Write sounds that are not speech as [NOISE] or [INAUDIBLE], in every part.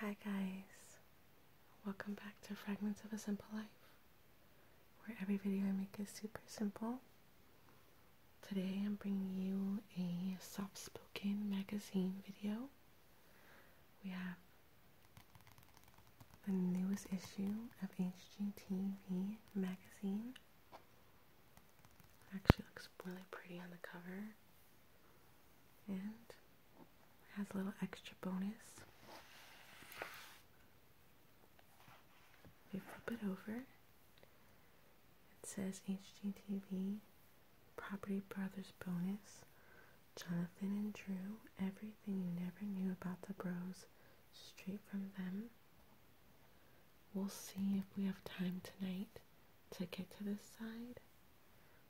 Hi, guys. Welcome back to Fragments of a Simple Life, where every video I make is super simple. Today I'm bringing you a soft spoken magazine video. We have the newest issue of HGTV magazine. actually looks really pretty on the cover and has a little extra bonus. We flip it over. It says HGTV Property Brothers Bonus. Jonathan and Drew, everything you never knew about the bros, straight from them. We'll see if we have time tonight to get to this side.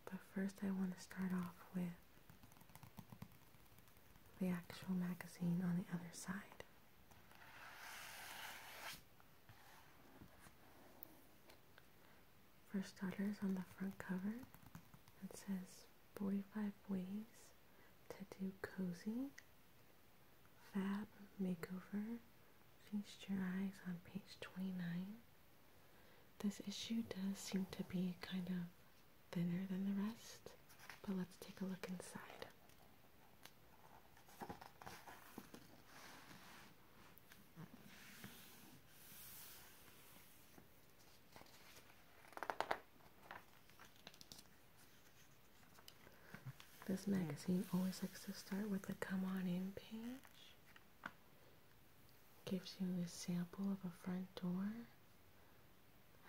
But first I want to start off with the actual magazine on the other side. For starters, on the front cover, it says 45 ways to do cozy, fab makeover, feast your eyes on page 29. This issue does seem to be kind of thinner than the rest, but let's take a look inside. This magazine always likes to start with a come on in page. Gives you a sample of a front door.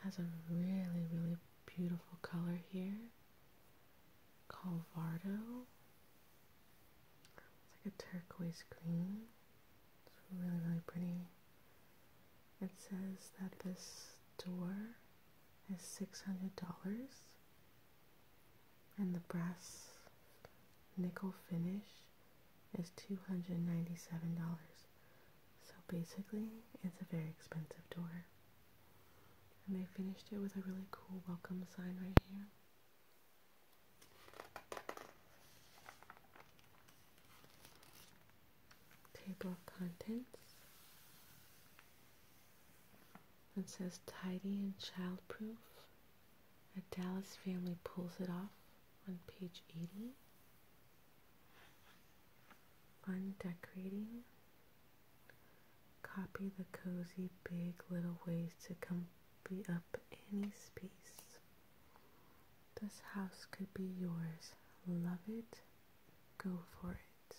Has a really, really beautiful color here. Calvardo. It's like a turquoise green. It's really, really pretty. It says that this door is $600 and the brass nickel finish is $297. So basically, it's a very expensive door. And they finished it with a really cool welcome sign right here. Table of contents. It says tidy and childproof a Dallas family pulls it off on page 80. Fun decorating. Copy the cozy big little ways to comfy up any space. This house could be yours. Love it. Go for it.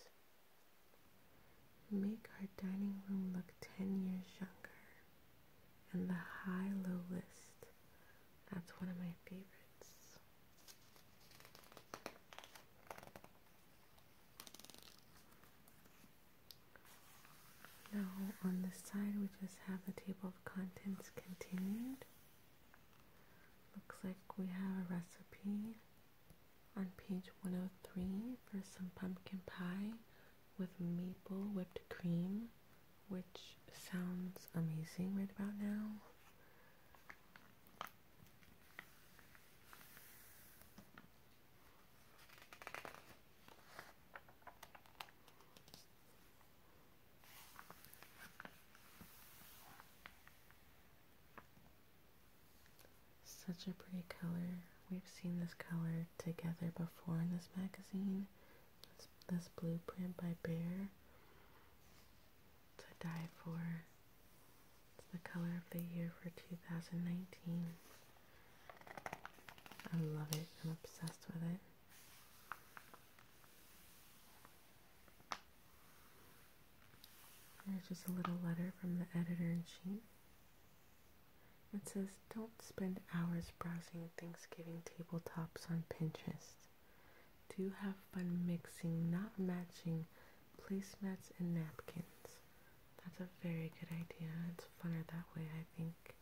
Make our dining room look 10 years younger and the high low list. That's one of my favorites. Now, on this side, we just have the table of contents continued. Looks like we have a recipe on page 103 for some pumpkin pie with maple whipped cream, which sounds amazing right about now. Such a pretty color. We've seen this color together before in this magazine. This, this blueprint by Bear to die for. It's the color of the year for 2019. I love it. I'm obsessed with it. There's just a little letter from the editor in chief. It says, don't spend hours browsing Thanksgiving tabletops on Pinterest. Do have fun mixing, not matching, placemats and napkins. That's a very good idea. It's funner that way, I think. It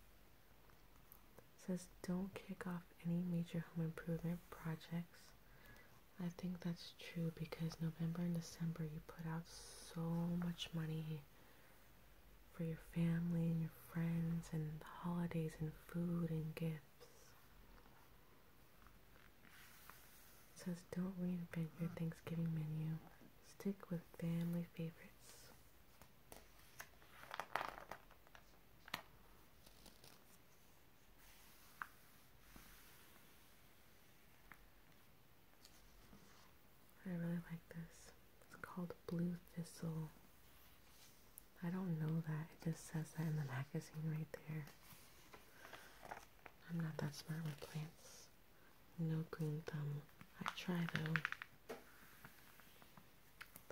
says, don't kick off any major home improvement projects. I think that's true because November and December you put out so much money for your family and your friends and the holidays and food and gifts. says don't reinvent your Thanksgiving menu. Stick with family favorites. I really like this. It's called Blue Thistle. I don't know that. It just says that in the magazine right there. I'm not that smart with plants. No green thumb. I try though.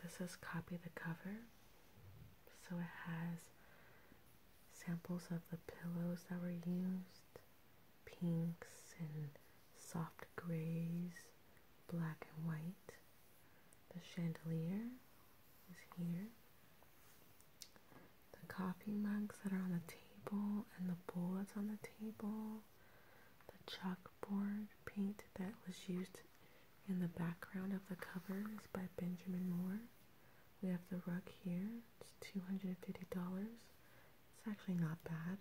This is copy the cover. So it has samples of the pillows that were used pinks and soft grays, black and white. The chandelier is here. The coffee mugs that are on the table and the bowl that's on the table. The chalkboard paint that was used in the background of the cover is by Benjamin Moore. We have the rug here. It's $250. It's actually not bad.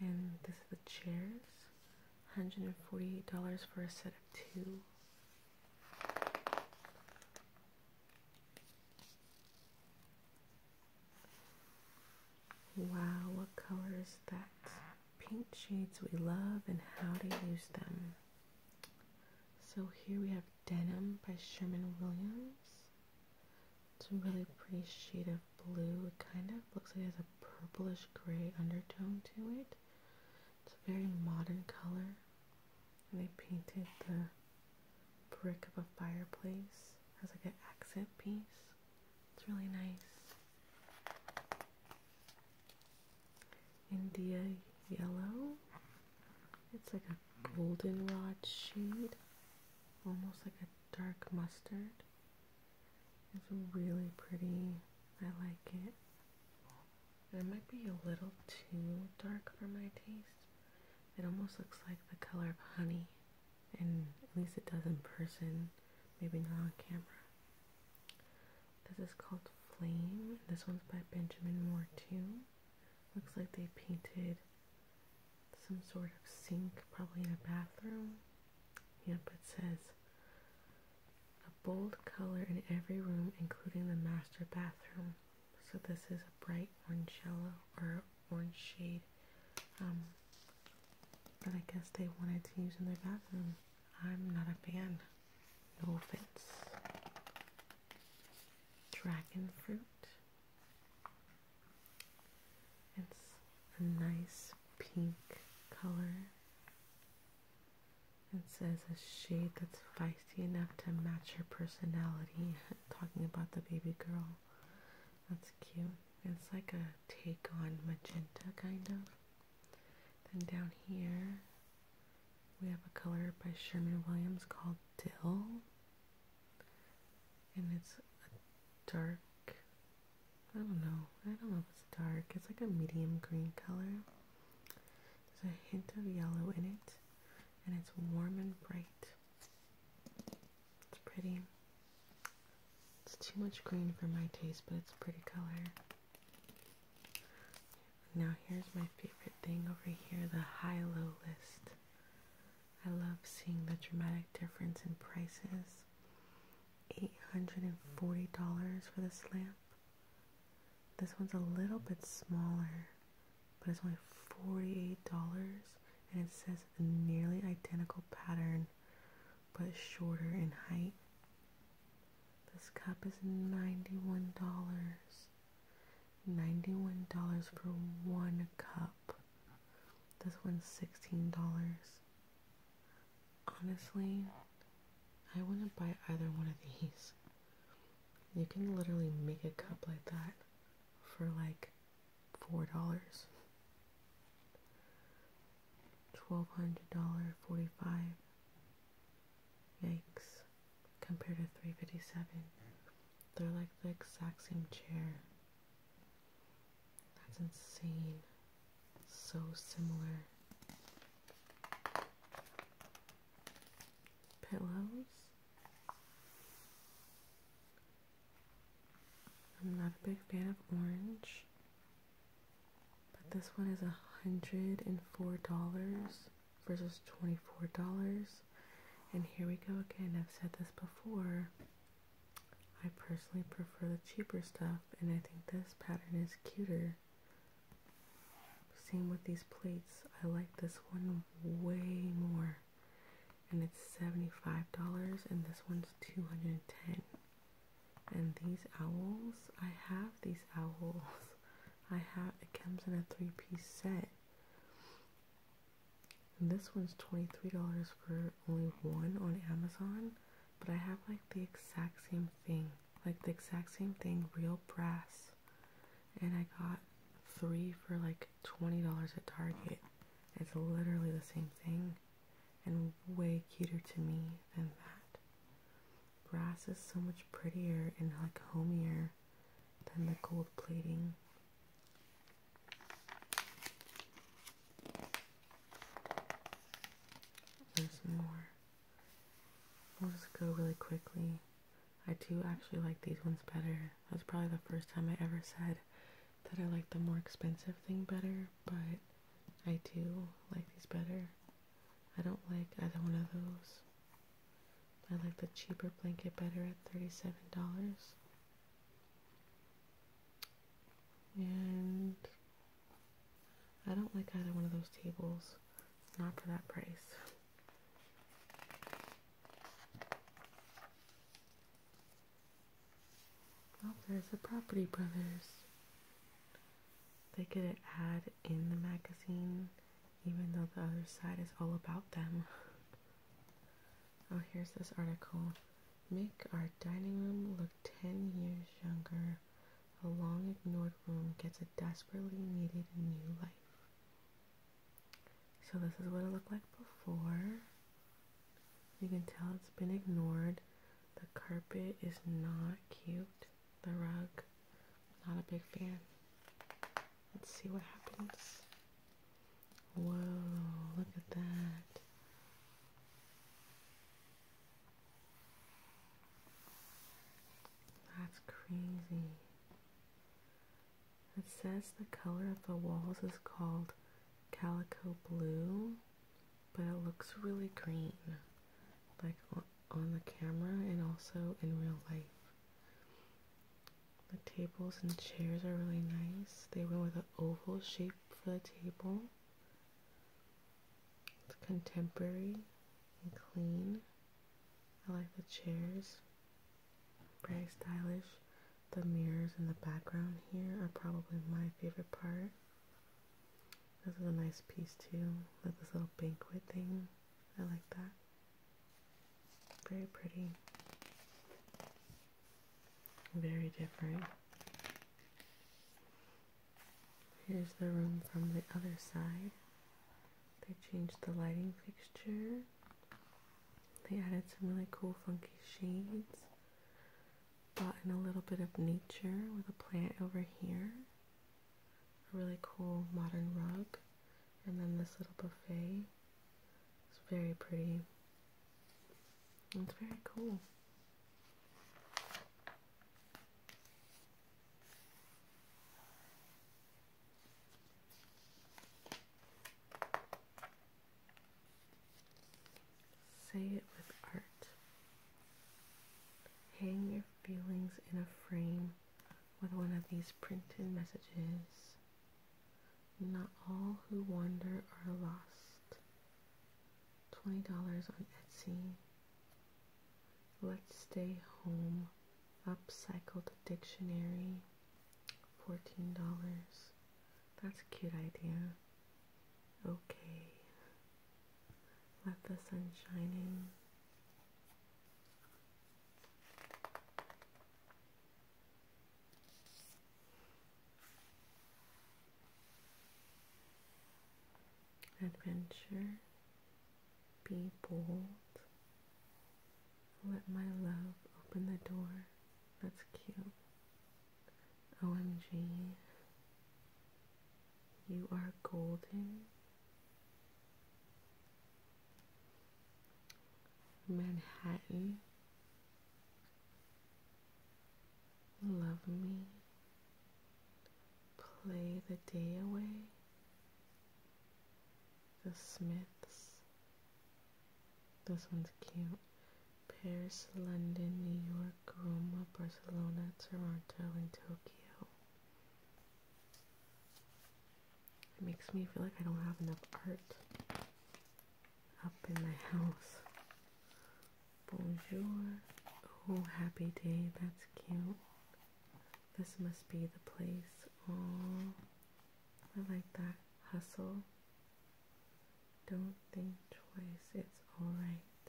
And this is the chairs. $148 for a set of two. Wow, what colors that? Paint shades we love and how to use them. So here we have Denim by Sherman Williams. It's a really pretty shade of blue. It kind of looks like it has a purplish gray undertone to it. It's a very modern color. And they painted the brick of a fireplace as like an accent piece. It's really nice. India yellow. It's like a goldenrod shade. Almost like a dark mustard. It's really pretty. I like it. it might be a little too dark for my taste. It almost looks like the color of honey. And at least it does in person, maybe not on camera. This is called Flame. This one's by Benjamin Moore too. Looks like they painted some sort of sink, probably in a bathroom. Yep, it says a bold color in every room, including the master bathroom. So this is a bright orange yellow or orange shade um, that I guess they wanted to use in their bathroom. I'm not a fan. No offense. Dragon fruit. It's a nice pink color. It says a shade that's feisty enough to match her personality. [LAUGHS] Talking about the baby girl. That's cute. It's like a take on magenta, kind of. Then down here, we have a color by Sherman Williams called Dill and it's dark I don't know. I don't know if it's dark. It's like a medium green color. There's a hint of yellow in it, and it's warm and bright. It's pretty. It's too much green for my taste, but it's a pretty color. Now here's my favorite thing over here, the high-low list. I love seeing the dramatic difference in prices. $840 for this lamp. This one's a little bit smaller, but it's only $48 and it says a nearly identical pattern but shorter in height. This cup is $91. $91 for one cup. This one's $16. Honestly, I wouldn't buy either one of these. You can literally make a cup like that for like $4. $1,200, 45 Yikes. Compared to 357 They're like the exact same chair. That's insane. So similar. Pillows. I'm not a big fan of orange, but this one is a hundred and four dollars versus twenty four dollars. And here we go again. I've said this before. I personally prefer the cheaper stuff and I think this pattern is cuter. Same with these plates. I like this one way more. And it's $75 and this one's 210 And these owls, I have these owls. [LAUGHS] I have, it comes in a three piece set this one's $23 for only one on Amazon, but I have like the exact same thing, like the exact same thing, real brass. And I got three for like $20 at Target. It's literally the same thing and way cuter to me than that. Brass is so much prettier and like homier than the gold plating. There's more. We'll go really quickly. I do actually like these ones better. That's probably the first time I ever said that I like the more expensive thing better, but I do like these better. I don't like either one of those. I like the cheaper blanket better at $37. And I don't like either one of those tables. Not for that price. Oh, there's the Property Brothers. They could an ad in the magazine, even though the other side is all about them. Oh, here's this article. Make our dining room look 10 years younger. A long ignored room gets a desperately needed new life. So this is what it looked like before. You can tell it's been ignored. The carpet is not cute. The rug, not a big fan. Let's see what happens. Whoa, look at that. That's crazy. It says the color of the walls is called calico blue, but it looks really green, like on the camera and also in real life. The tables and chairs are really nice. They went with an oval shape for the table. It's contemporary and clean. I like the chairs. Very stylish. The mirrors in the background here are probably my favorite part. This is a nice piece too, like this little banquet thing. I like that. Very pretty. Very different. Here's the room from the other side. They changed the lighting fixture. They added some really cool funky shades. Brought in a little bit of nature with a plant over here. A really cool modern rug. And then this little buffet. It's very pretty. That's very cool. Say it with art. Hang your feelings in a frame with one of these printed messages. Not all who wander are lost. $20 on Etsy. Let's Stay Home Upcycled Dictionary. $14. That's a cute idea. Okay. Let the sun shine in. Adventure, be bold. Let my love open the door. That's cute. OMG. You are golden. Manhattan. Love me. Play the day away. The Smiths. This one's cute. Paris, London, New York, Roma, Barcelona, Toronto, and Tokyo. It makes me feel like I don't have enough art up in the house. Bonjour. Oh, happy day. That's cute. This must be the place. Oh, I like that. Hustle. Don't think twice. It's alright.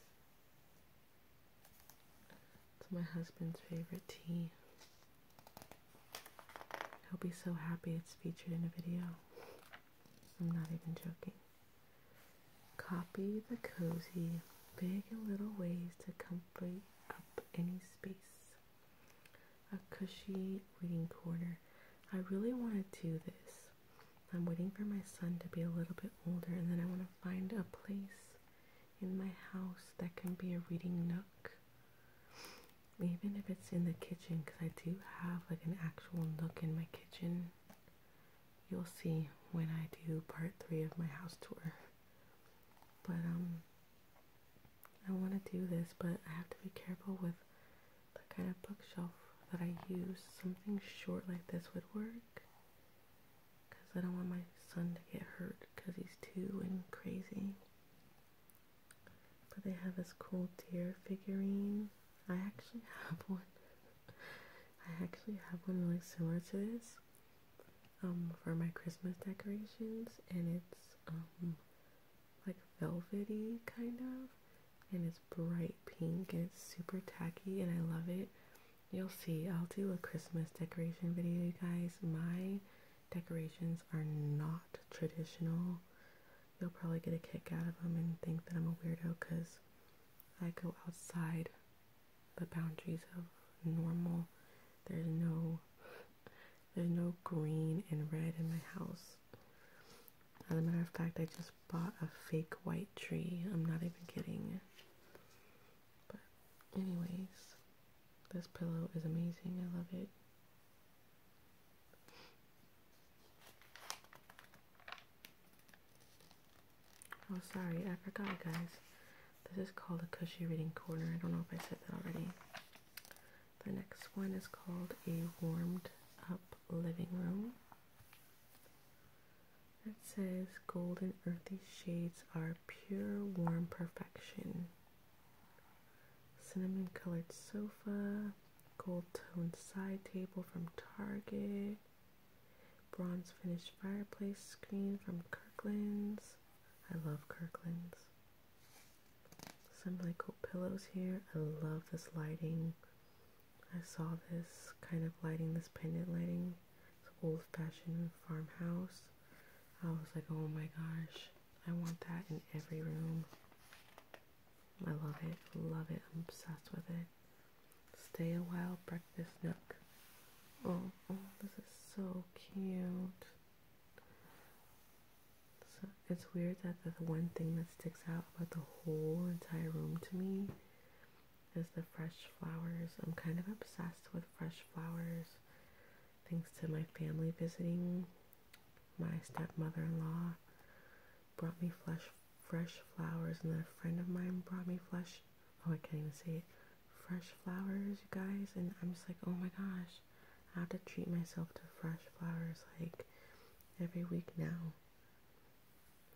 It's my husband's favorite tea. He'll be so happy it's featured in a video. I'm not even joking. Copy the cozy big and little ways to complete up any space. A cushy reading corner. I really want to do this. I'm waiting for my son to be a little bit older and then I want to find a place in my house that can be a reading nook. Even if it's in the kitchen because I do have like an actual nook in my kitchen you'll see when I do part three of my house tour. But um I want to do this, but I have to be careful with the kind of bookshelf that I use. Something short like this would work. Because I don't want my son to get hurt because he's two and crazy. But they have this cool deer figurine. I actually have one. I actually have one really similar to this um, for my Christmas decorations, and it's um, like velvety kind of, and it's bright pink and it's super tacky, and I love it. You'll see. I'll do a Christmas decoration video, you guys. My decorations are not traditional you will probably get a kick out of them and think that I'm a weirdo because I go outside the boundaries of normal. There's no there's no green and red in my house. As a matter of fact, I just bought a fake white tree. I'm not even kidding. But anyways, this pillow is amazing. I love it. Oh, sorry, I forgot, guys. This is called a cushy reading corner. I don't know if I said that already. The next one is called a warmed up living room. It says golden earthy shades are pure warm perfection. Cinnamon colored sofa, gold tone side table from Target, bronze finish fireplace screen from Kirkland's. I love Kirkland's. Some really cool pillows here. I love this lighting. I saw this kind of lighting, this pendant lighting. It's old fashioned farmhouse. I was like, oh my gosh, I want that in every room. I love it, love it, I'm obsessed with it. Stay a while, breakfast nook. Oh, oh, this is so cute. So it's weird that the one thing that sticks out about the whole entire room to me is the fresh flowers. I'm kind of obsessed with fresh flowers thanks to my family visiting, my stepmother in law, brought me fresh, fresh flowers, and then a friend of mine brought me fresh. Oh, I can't even say it. Fresh flowers, you guys, and I'm just like, oh my gosh, I have to treat myself to fresh flowers like every week now.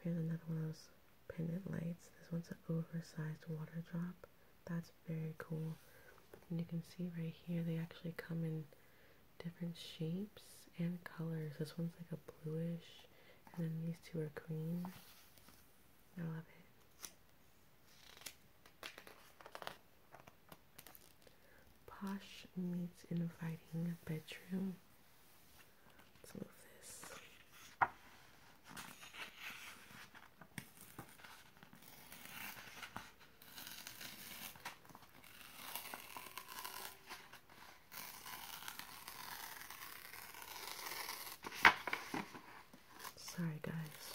Here's another one of those pendant lights. This one's an oversized water drop. That's very cool. And you can see right here, they actually come in different shapes and colors. This one's like a bluish and then these two are green. I love it. Posh meets inviting bedroom. Let's move this. Sorry, guys.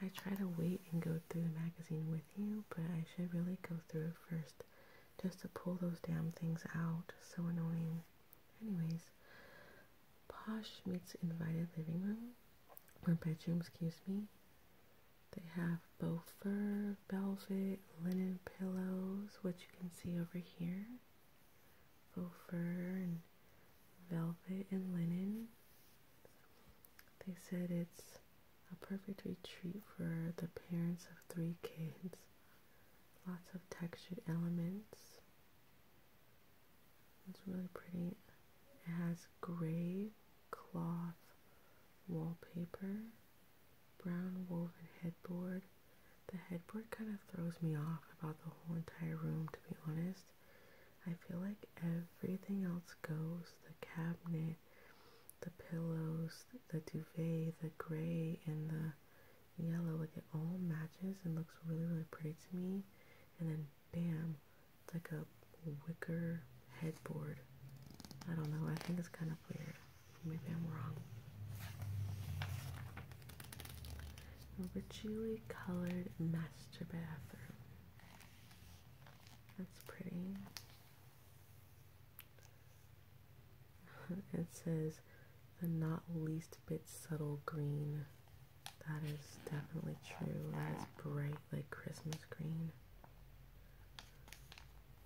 I try to wait and go through the magazine with you, but I should really go through first just to pull those damn things out. So annoying. Anyways, Posh meets invited living room, or bedroom, excuse me. They have fur, velvet, linen pillows, which you can see over here. fur and velvet and linen. They said it's a perfect retreat for the parents of three kids. Lots of textured elements. It's really pretty. It has gray cloth wallpaper, brown woven headboard. The headboard kind of throws me off about the whole entire room, to be honest. I feel like everything else goes the cabinet, the pillows, the duvet, the gray, and the yellow. Like it all matches and looks really, really pretty to me. And then bam, it's like a wicker headboard. I don't know, I think it's kind of weird. Maybe I'm wrong. Richly colored master bathroom. That's pretty. [LAUGHS] it says the not least bit subtle green that is definitely true. That is bright like Christmas green.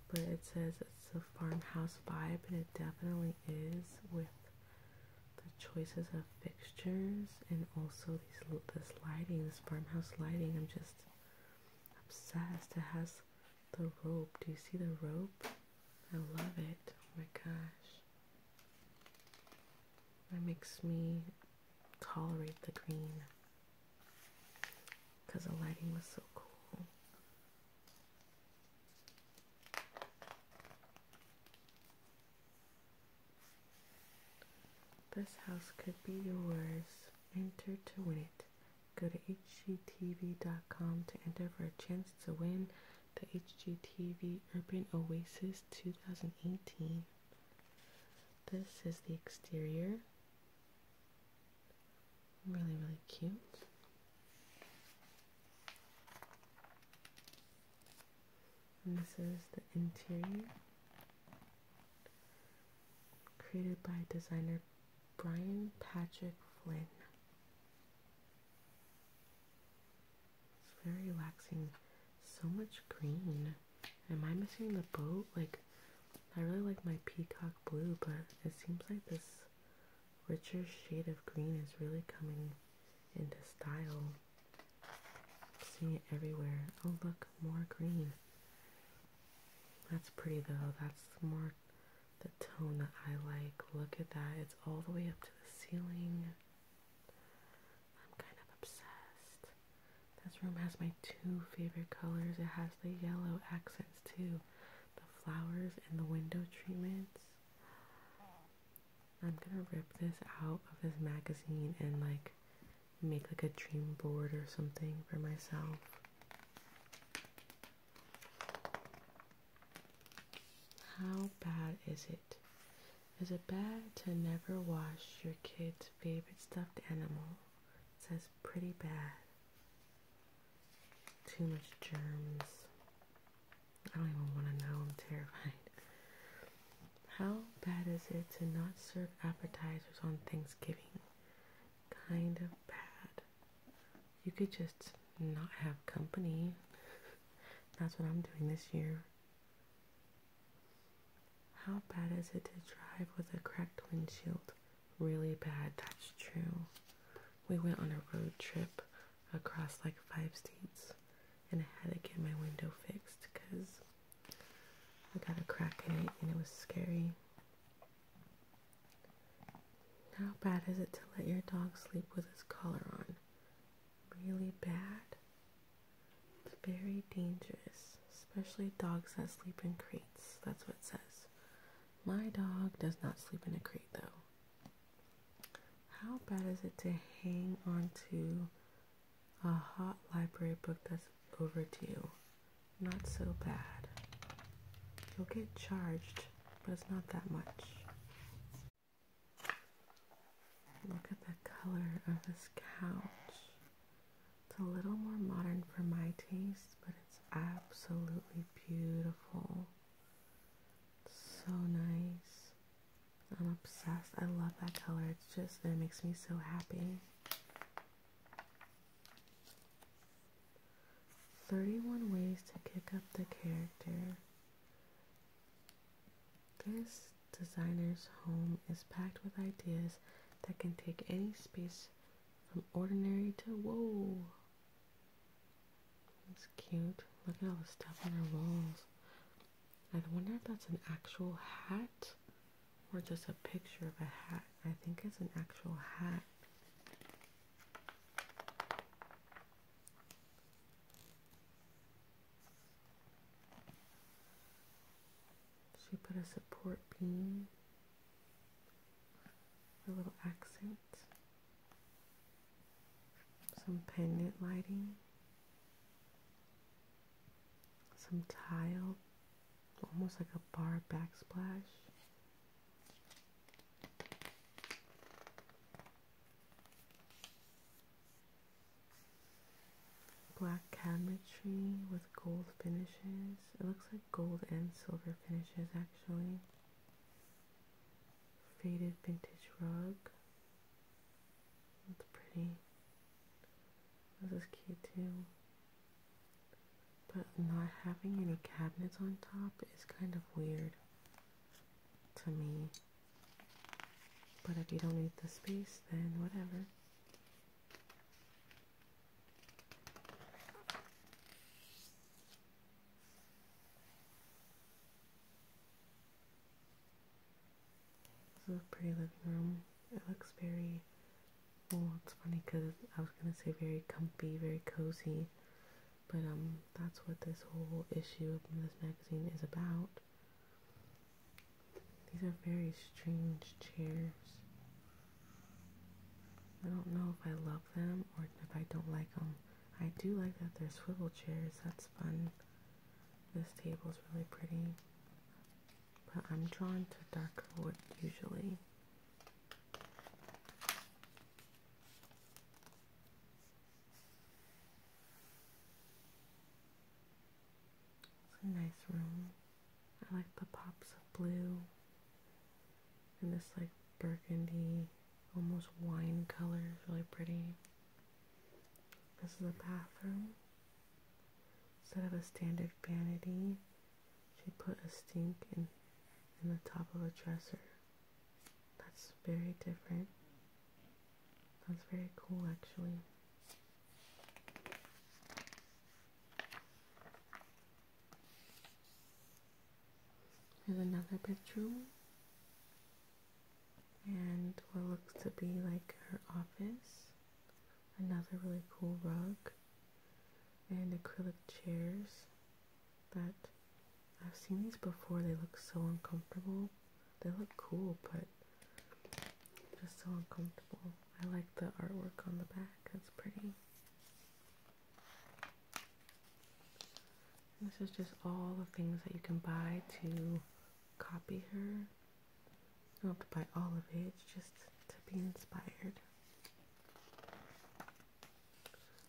But it says it's a farmhouse vibe, and it definitely is with the choices of fixtures and also these this lighting, this farmhouse lighting. I'm just obsessed. It has the rope. Do you see the rope? I love it. Oh my gosh. That makes me tolerate the green because the lighting was so cool. This house could be yours. Enter to win it. Go to hgtv.com to enter for a chance to win the HGTV Urban Oasis 2018. This is the exterior. Really, really cute. this is the interior. Created by designer Brian Patrick Flynn. It's very relaxing. So much green. Am I missing the boat? Like, I really like my peacock blue, but it seems like this richer shade of green is really coming into style. seeing it everywhere. Oh, look, more green. That's pretty though. That's more the tone that I like. Look at that. It's all the way up to the ceiling. I'm kind of obsessed. This room has my two favorite colors. It has the yellow accents too, the flowers and the window treatments. I'm gonna rip this out of this magazine and like make like a dream board or something for myself. How bad is it is it bad to never wash your kid's favorite stuffed animal? It says pretty bad. Too much germs. I don't even want to know. I'm terrified. How bad is it to not serve appetizers on Thanksgiving? Kind of bad. You could just not have company. [LAUGHS] That's what I'm doing this year. How bad is it to drive with a cracked windshield? Really bad, that's true. We went on a road trip across like five states and I had to get my window fixed because I got a crack in it and it was scary. How bad is it to let your dog sleep with his collar on? Really bad? It's very dangerous, especially dogs that sleep in crates. That's what it says. My dog does not sleep in a crate though. How bad is it to hang on to a hot library book that's overdue? Not so bad. You'll get charged, but it's not that much. Look at the color of this couch. It's a little more modern for my taste, but it's absolutely beautiful. so nice. I'm obsessed. I love that color. It's just, it makes me so happy. 31 ways to kick up the character. This designer's home is packed with ideas that can take any space from ordinary to whoa. That's cute. Look at all the stuff on her walls. I wonder if that's an actual hat or just a picture of a hat. I think it's an actual hat. She put a support beam, a little accent, some pendant lighting, some tile, almost like a bar backsplash. Black cabinetry with gold finishes. It looks like gold and silver finishes actually. Faded vintage rug. That's pretty. This is cute too. But not having any cabinets on top is kind of weird to me. But if you don't need the space, then whatever. This is a pretty living room. It looks very, well, it's funny because I was going to say very comfy, very cozy, but um, that's what this whole issue of this magazine is about. These are very strange chairs. I don't know if I love them or if I don't like them. I do like that they're swivel chairs. That's fun. This table is really pretty. But I'm drawn to darker wood usually. It's a nice room. I like the pops of blue and this like burgundy, almost wine color really pretty. This is a bathroom. Instead of a standard vanity, she put a sink in the top of a dresser. That's very different. That's very cool actually. There's another bedroom and what looks to be like her office. Another really cool rug and acrylic chairs that I've seen these before. They look so uncomfortable. They look cool, but just so uncomfortable. I like the artwork on the back, that's pretty. this is just all the things that you can buy to copy her. You don't have to buy all of it, just to be inspired.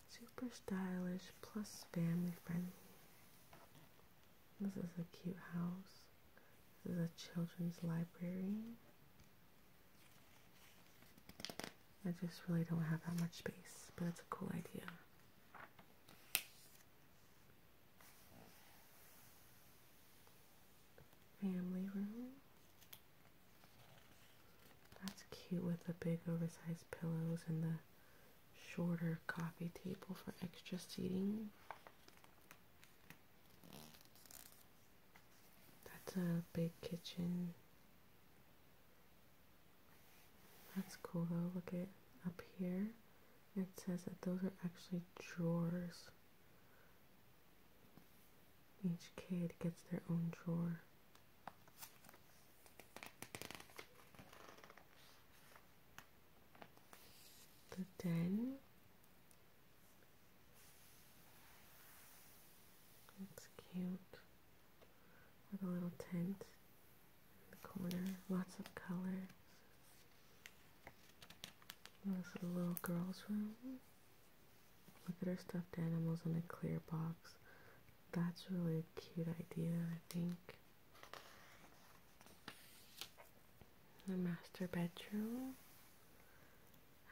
Super stylish plus family friendly. This is a cute house. This is a children's library. I just really don't have that much space, but it's a cool idea. Family room. That's cute with the big oversized pillows and the shorter coffee table for extra seating. That's a big kitchen. That's cool though. Look at up here. It says that those are actually drawers. Each kid gets their own drawer. The den it's cute with a little tent in the corner, lots of colors. And this is a little girl's room. Look at her stuffed animals in a clear box. That's really a cute idea, I think. The master bedroom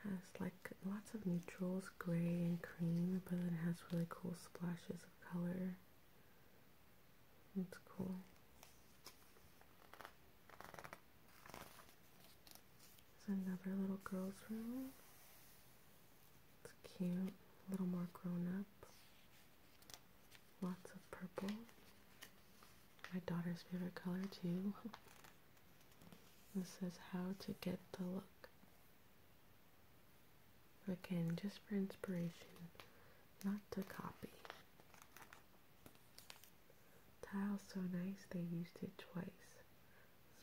has like lots of neutrals, gray and cream, but it has really cool splashes of color. It's cool. There's another little girl's room. It's cute, a little more grown up. Lots of purple my daughter's favorite color too. This is how to get the look. Again, just for inspiration, not to copy. Tile's so nice they used it twice.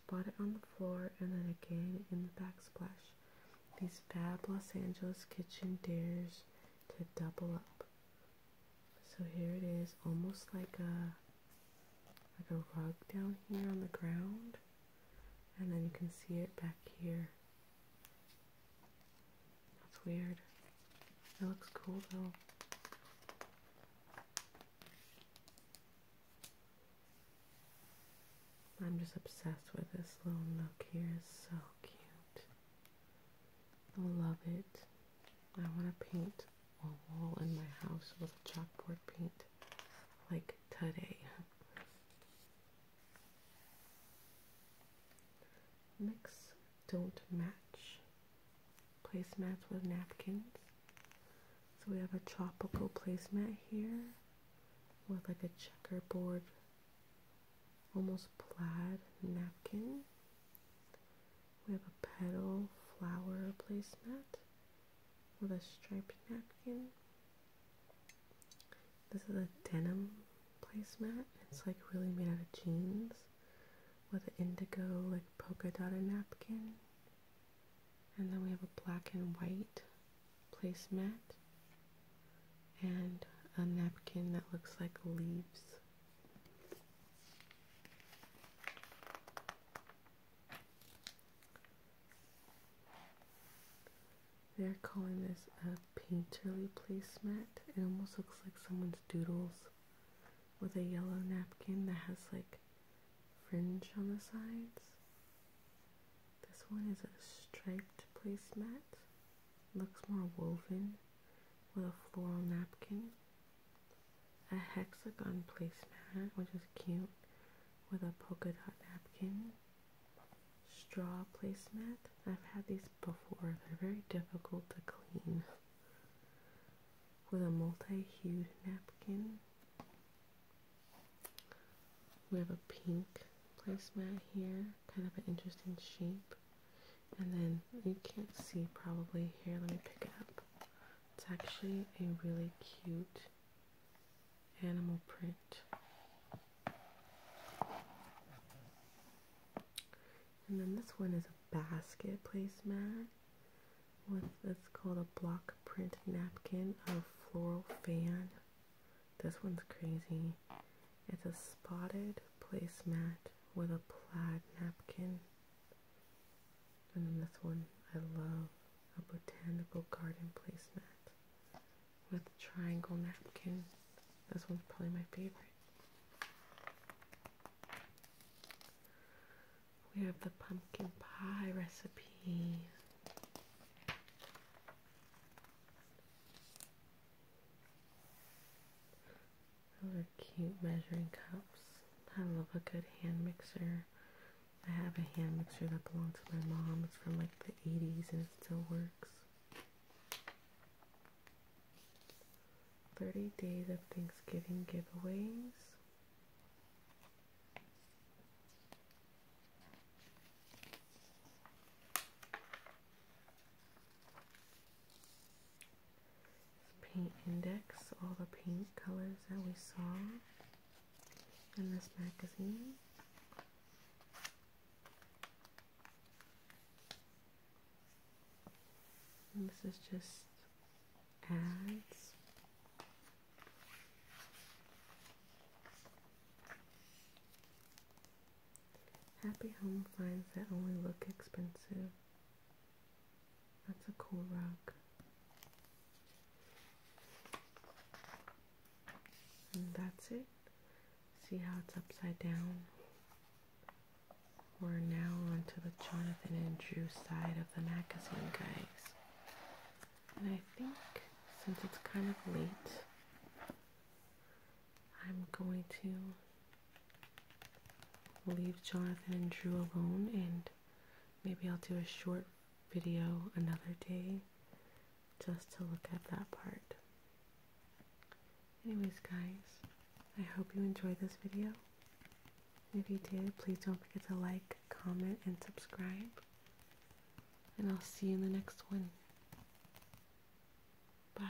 Spot it on the floor and then again in the backsplash. These fab Los Angeles kitchen dares to double up. So here it is, almost like a like a rug down here on the ground, and then you can see it back here. That's weird. It looks cool though. I'm just obsessed with this little nook here. It's so cute. I love it. I want to paint a wall in my house with a chalkboard paint like today. Mix don't match. Placemats with napkins. So we have a tropical placemat here with like a checkerboard, almost plaid napkin. We have a petal flower placemat with a striped napkin. This is a denim placemat. It's like really made out of jeans with an indigo like polka dotted napkin. And then we have a black and white placemat and a napkin that looks like leaves they're calling this a painterly placemat. It almost looks like someone's doodles with a yellow napkin that has like fringe on the sides. This one is a striped placemat. Looks more woven with a floral napkin a hexagon placemat, which is cute, with a polka dot napkin, straw placemat. I've had these before, they're very difficult to clean. With a multi hued napkin. We have a pink placemat here, kind of an interesting shape. And then you can't see probably here. Let me pick it up. It's actually a really cute animal print. And then this one is a basket placemat with it's called a block print napkin a floral fan. This one's crazy. It's a spotted placemat with a plaid napkin and then this one, I love a botanical garden placemat with triangle napkin. This one's probably my favorite. We have the pumpkin pie recipe. Those are cute measuring cups. I love a good hand mixer. I have a hand mixer that belonged to my mom. It's from like the 80s and it still works. 30 days of Thanksgiving giveaways paint index, all the paint colors that we saw in this magazine. this is just ads. Happy home finds that only look expensive. That's a cool rug. And that's it. See how it's upside down? We're now onto the Jonathan and Drew side of the magazine, guys. And I think since it's kind of late, I'm going to leave Jonathan and Drew alone and maybe I'll do a short video another day just to look at that part. Anyways guys, I hope you enjoyed this video. If you did, please don't forget to like, comment, and subscribe. And I'll see you in the next one. Bye.